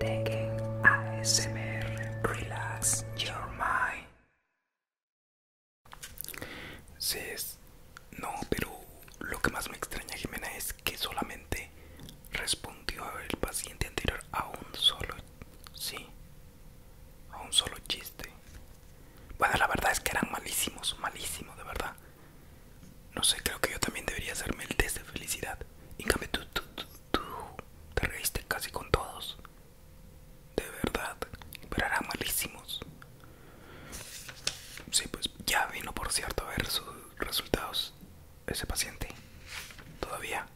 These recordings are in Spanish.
Tekken ASMR Relax Your Mind. Sí, es. No, pero lo que más me extraña, Jimena, es que solamente respondió el paciente anterior a un solo. Sí, a un solo chiste. Bueno, la verdad es que eran malísimos, malísimos, de verdad. No sé, creo que yo también debería hacerme el test de felicidad. Y cambio, tú, tú, te reíste casi con todos. De verdad, pero eran malísimos. Sí, pues ya vino, por cierto, a ver sus resultados ese paciente. Todavía.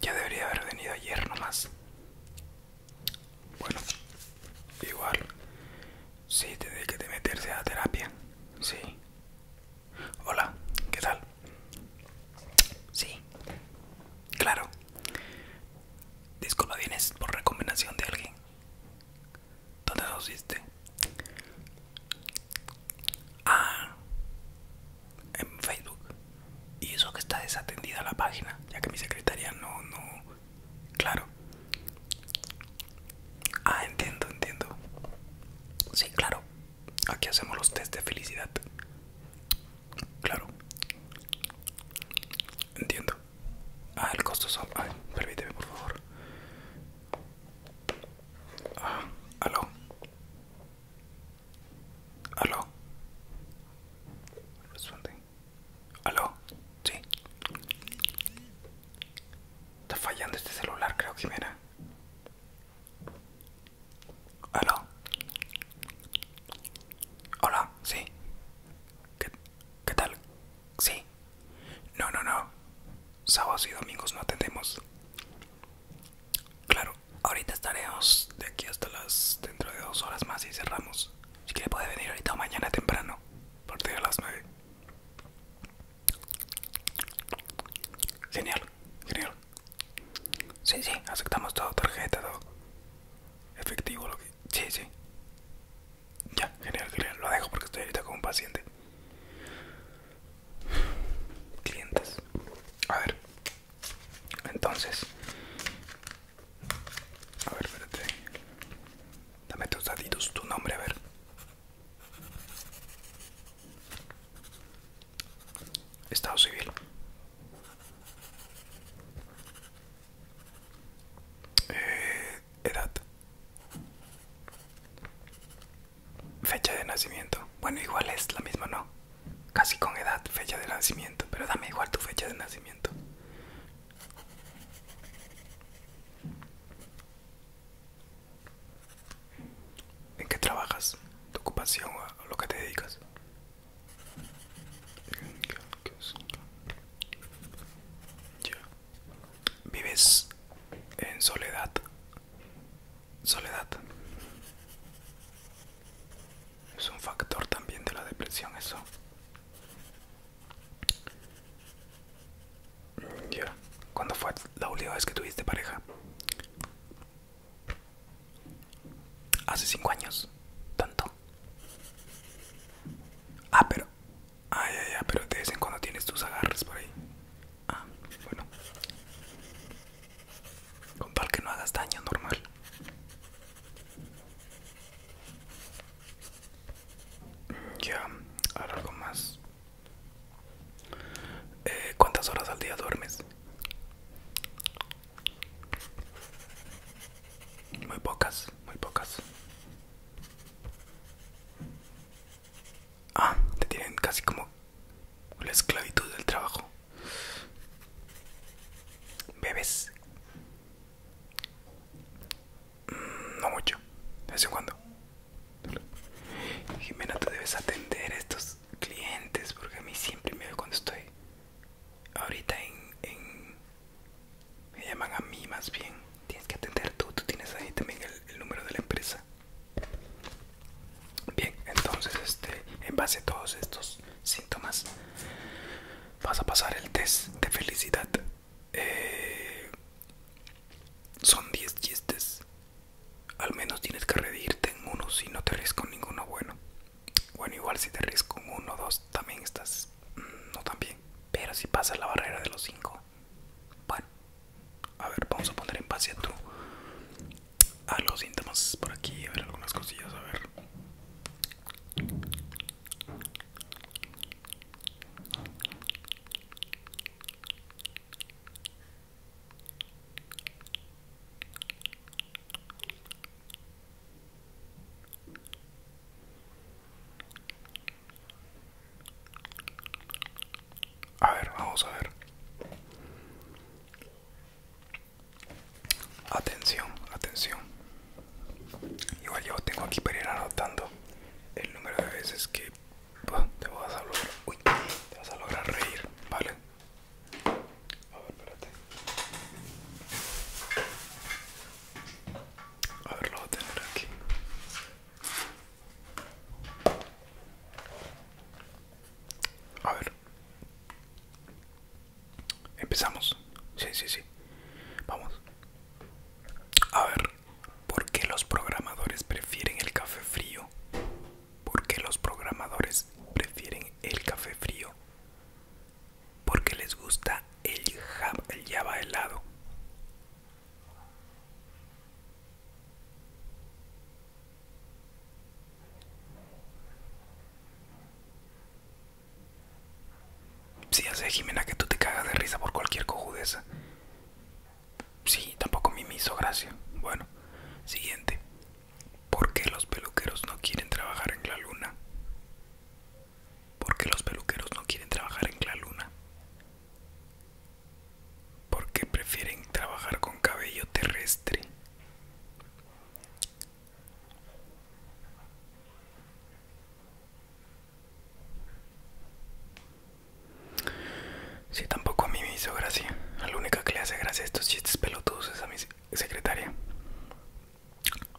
Ya debería haber venido ayer nomás. Bueno, igual. Sí, tiene que meterse a terapia. Sí. Hola, ¿qué tal? Sí, claro. Disculpa, tienes por recomendación de alguien. ¿Dónde lo hiciste? Ah, en Facebook. Y eso que está desatendida la página, ya que mi secretaria no, no. Claro. Ah, entiendo, entiendo. Sí, claro. Aquí hacemos los test de felicidad. Claro. Entiendo. Ah, el costo son... Ay, permíteme, por favor. Ah, aló. Aló. Responde. Aló. Sí. Está fallando este celular, creo, que ¿Aló? Hola, sí. ¿Qué, ¿Qué tal? Sí. No, no, no. Sábados y domingos no atendemos. Claro, ahorita estaremos de aquí hasta las. dentro de dos horas más y cerramos. Si quiere puede venir ahorita o mañana temprano, a partir de las nueve. Genial, genial. Sí, sí, aceptamos todo, tarjeta, todo. Efectivo, lo que... Sí, sí. Ya, genial, genial. Lo dejo porque estoy ahorita con un paciente. Clientes. A ver. Entonces. A ver, espérate. Dame tus datitos, tu nombre, a ver. Estado civil. Eh, edad. Fecha de nacimiento. Bueno, igual es la misma, ¿no? Casi con edad, fecha de nacimiento. Pero dame igual tu fecha de nacimiento. ¿En qué trabajas? ¿Tu ocupación o lo que te dedicas? ¿Vives en soledad? Soledad es un factor también de la depresión eso ya. ¿Cuándo fue la última vez que tuviste pareja? Hace cinco años. Tanto. Ah, pero. ay, ah, ay, pero te dicen cuando tienes tus agarres por ahí. Ah, bueno. Con tal que no hagas daño, normal. Ya, algo más. Eh, ¿Cuántas horas al día duermes? Muy pocas, muy pocas. Ah, te tienen casi como la esclavitud del trabajo. ¿Bebes? Mm, no mucho, de vez en cuando. Jimena, tú debes atender a estos clientes porque a mí siempre me veo cuando estoy ahorita en, Me llaman a mí más bien. Tienes que atender tú, tú tienes ahí también el, el número de la empresa. Bien, entonces este, en base a todos estos síntomas vas a pasar el test de felicidad. Eh, son 10 chistes. Al menos tienes que redirte en uno si no te ríes con ninguno bueno. Bueno, igual si te ríes con uno o dos también estás mm, no tan bien. Pero si pasa la barrera de los cinco bueno, a ver, vamos a poner en paz a tu. A los síntomas por aquí, a ver algunas cosillas, a ver. A ver, vamos a ver. Atención, atención. Igual yo tengo aquí para ir anotando el número de veces que te vas a lograr. te vas a lograr reír, ¿vale? A ver, espérate. A ver, lo voy a tener aquí. A ver. Empezamos. Sí, sí, sí. Vamos. A ver, ¿por qué los programadores prefieren el café frío? ¿Por qué los programadores prefieren el café frío? Porque les gusta el, java, el helado. Si hace Jimena, que tú te cagas de risa por cualquier cojudeza. Sí, tampoco me hizo gracia. Bueno, siguiente. ¿Por qué los peluqueros no quieren trabajar en la luna? ¿Por qué los peluqueros no quieren trabajar en la luna? Porque prefieren trabajar con cabello terrestre. Si tampoco a mí me hizo gracia. la única que le hace gracia a estos chistes pelotudos es a mi secretaria.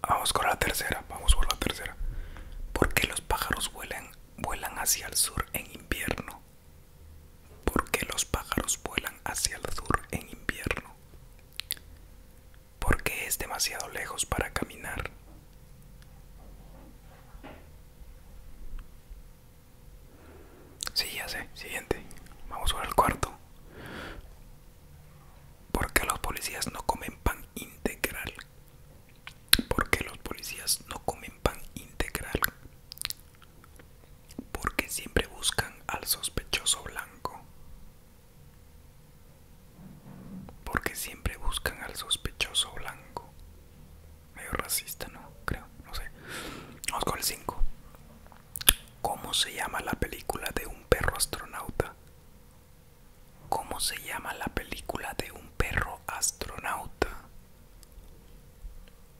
Vamos con la tercera, vamos por la tercera. ¿Por qué los pájaros vuelan, vuelan hacia el sur en invierno? ¿Por qué los pájaros vuelan hacia el sur en invierno? porque es demasiado lejos para caminar. Sí, ya sé, siguiente. Vamos al el cuarto. ¿Por qué los policías no comen pan integral? ¿Por qué los policías no comen pan integral? Porque siempre buscan al sospechoso blanco. Porque siempre buscan al sospechoso blanco. Medio racista, ¿no? Creo, no sé. Vamos con el 5. ¿Cómo se llama la película de un perro astronauta? ¿Cómo se llama la película de un perro astronauta?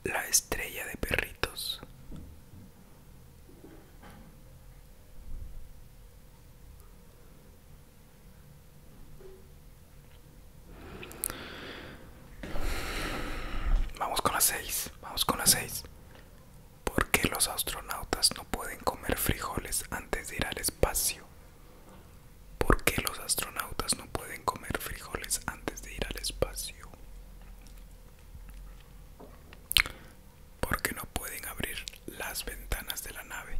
La estrella de perritos. Vamos con las 6, vamos con las 6. ¿Por qué los astronautas no pueden comer frijoles antes de ir al espacio? ¿Por qué los astronautas no pueden comer frijoles antes de ir al espacio? porque no pueden abrir las ventanas de la nave.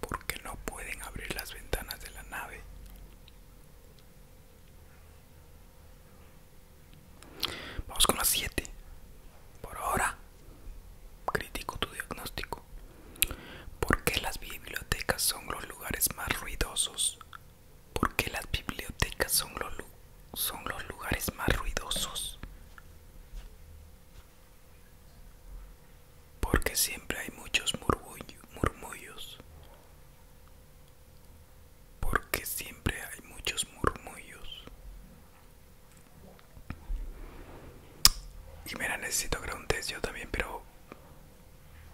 Porque no pueden abrir las ventanas de la nave. Vamos con las 7. Por ahora, critico tu diagnóstico. ¿Por qué las bibliotecas son los lugares más ruidosos porque las bibliotecas son los, son los lugares más ruidosos. Porque siempre hay muchos murmullos. Porque siempre hay muchos murmullos. Y mira, necesito que yo también, pero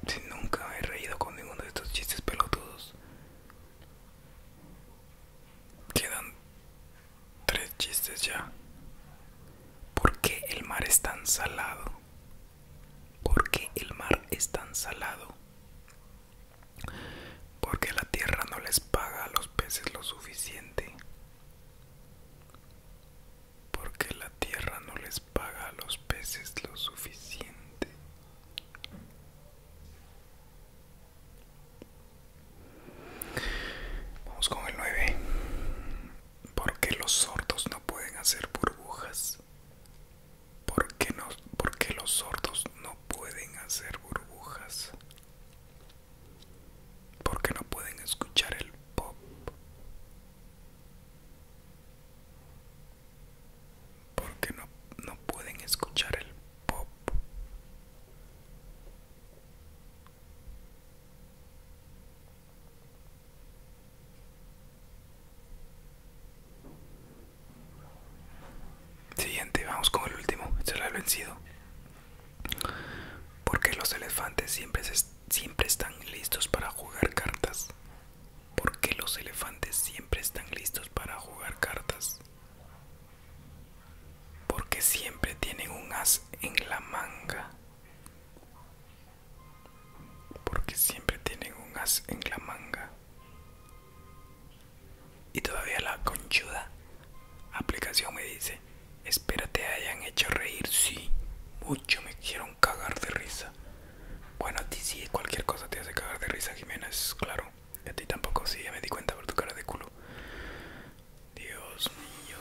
si nunca he reído con ninguno de estos chistes pelotudos, Quedan tres chistes ya. ¿Por qué el mar es tan salado? ¿Por qué el mar es tan salado? Porque la tierra no les paga a los peces lo suficiente. Porque la tierra no les paga a los peces lo suficiente. Vamos con el 9. Porque los sordos no pueden hacer burbujas. Porque no, los sordos no pueden hacer burbujas. Porque no pueden escuchar el pop porque no, no pueden escuchar el pop. Siguiente, vamos con el último, se el lo vencido. Porque los elefantes siempre, siempre están listos para jugar cartas. Porque los elefantes siempre están listos para jugar cartas? Porque siempre tienen un as en la manga. Porque siempre tienen un as en la manga. Y todavía la conchuda aplicación me dice, espérate, te hayan hecho reír. Sí, mucho me quieren cagar de risa. Bueno, a ti sí, cualquier cosa te hace cagar de risa, Jiménez, claro. Y a ti tampoco, sí, ya me di cuenta por tu cara de culo. Dios mío.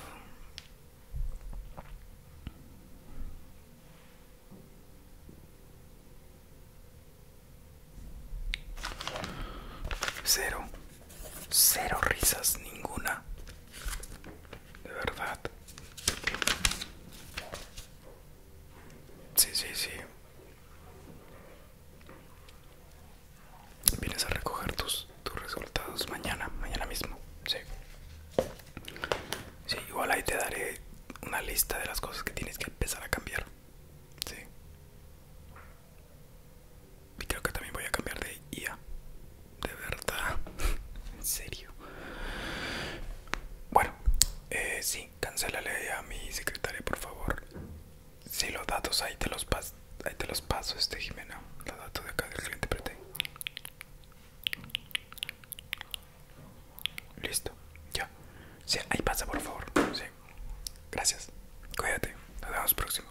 Cero. Cero risas, ninguna. De verdad. Sí, sí, sí. Vienes a recoger tus, tus resultados mañana, mañana mismo. Sí. Sí, igual ahí te daré una lista de las cosas que tienes que empezar a cambiar. Sí. Y creo que también voy a cambiar de IA. De verdad. en serio. Bueno, eh, sí cancélale a mi secretaria, por favor. Si sí, los datos ahí te los, pas ahí te los paso, este Jimena. Los datos de acá del cliente Listo, ya. Sí, ahí pasa, por favor. Sí. Gracias. Cuídate. Nos vemos próximo.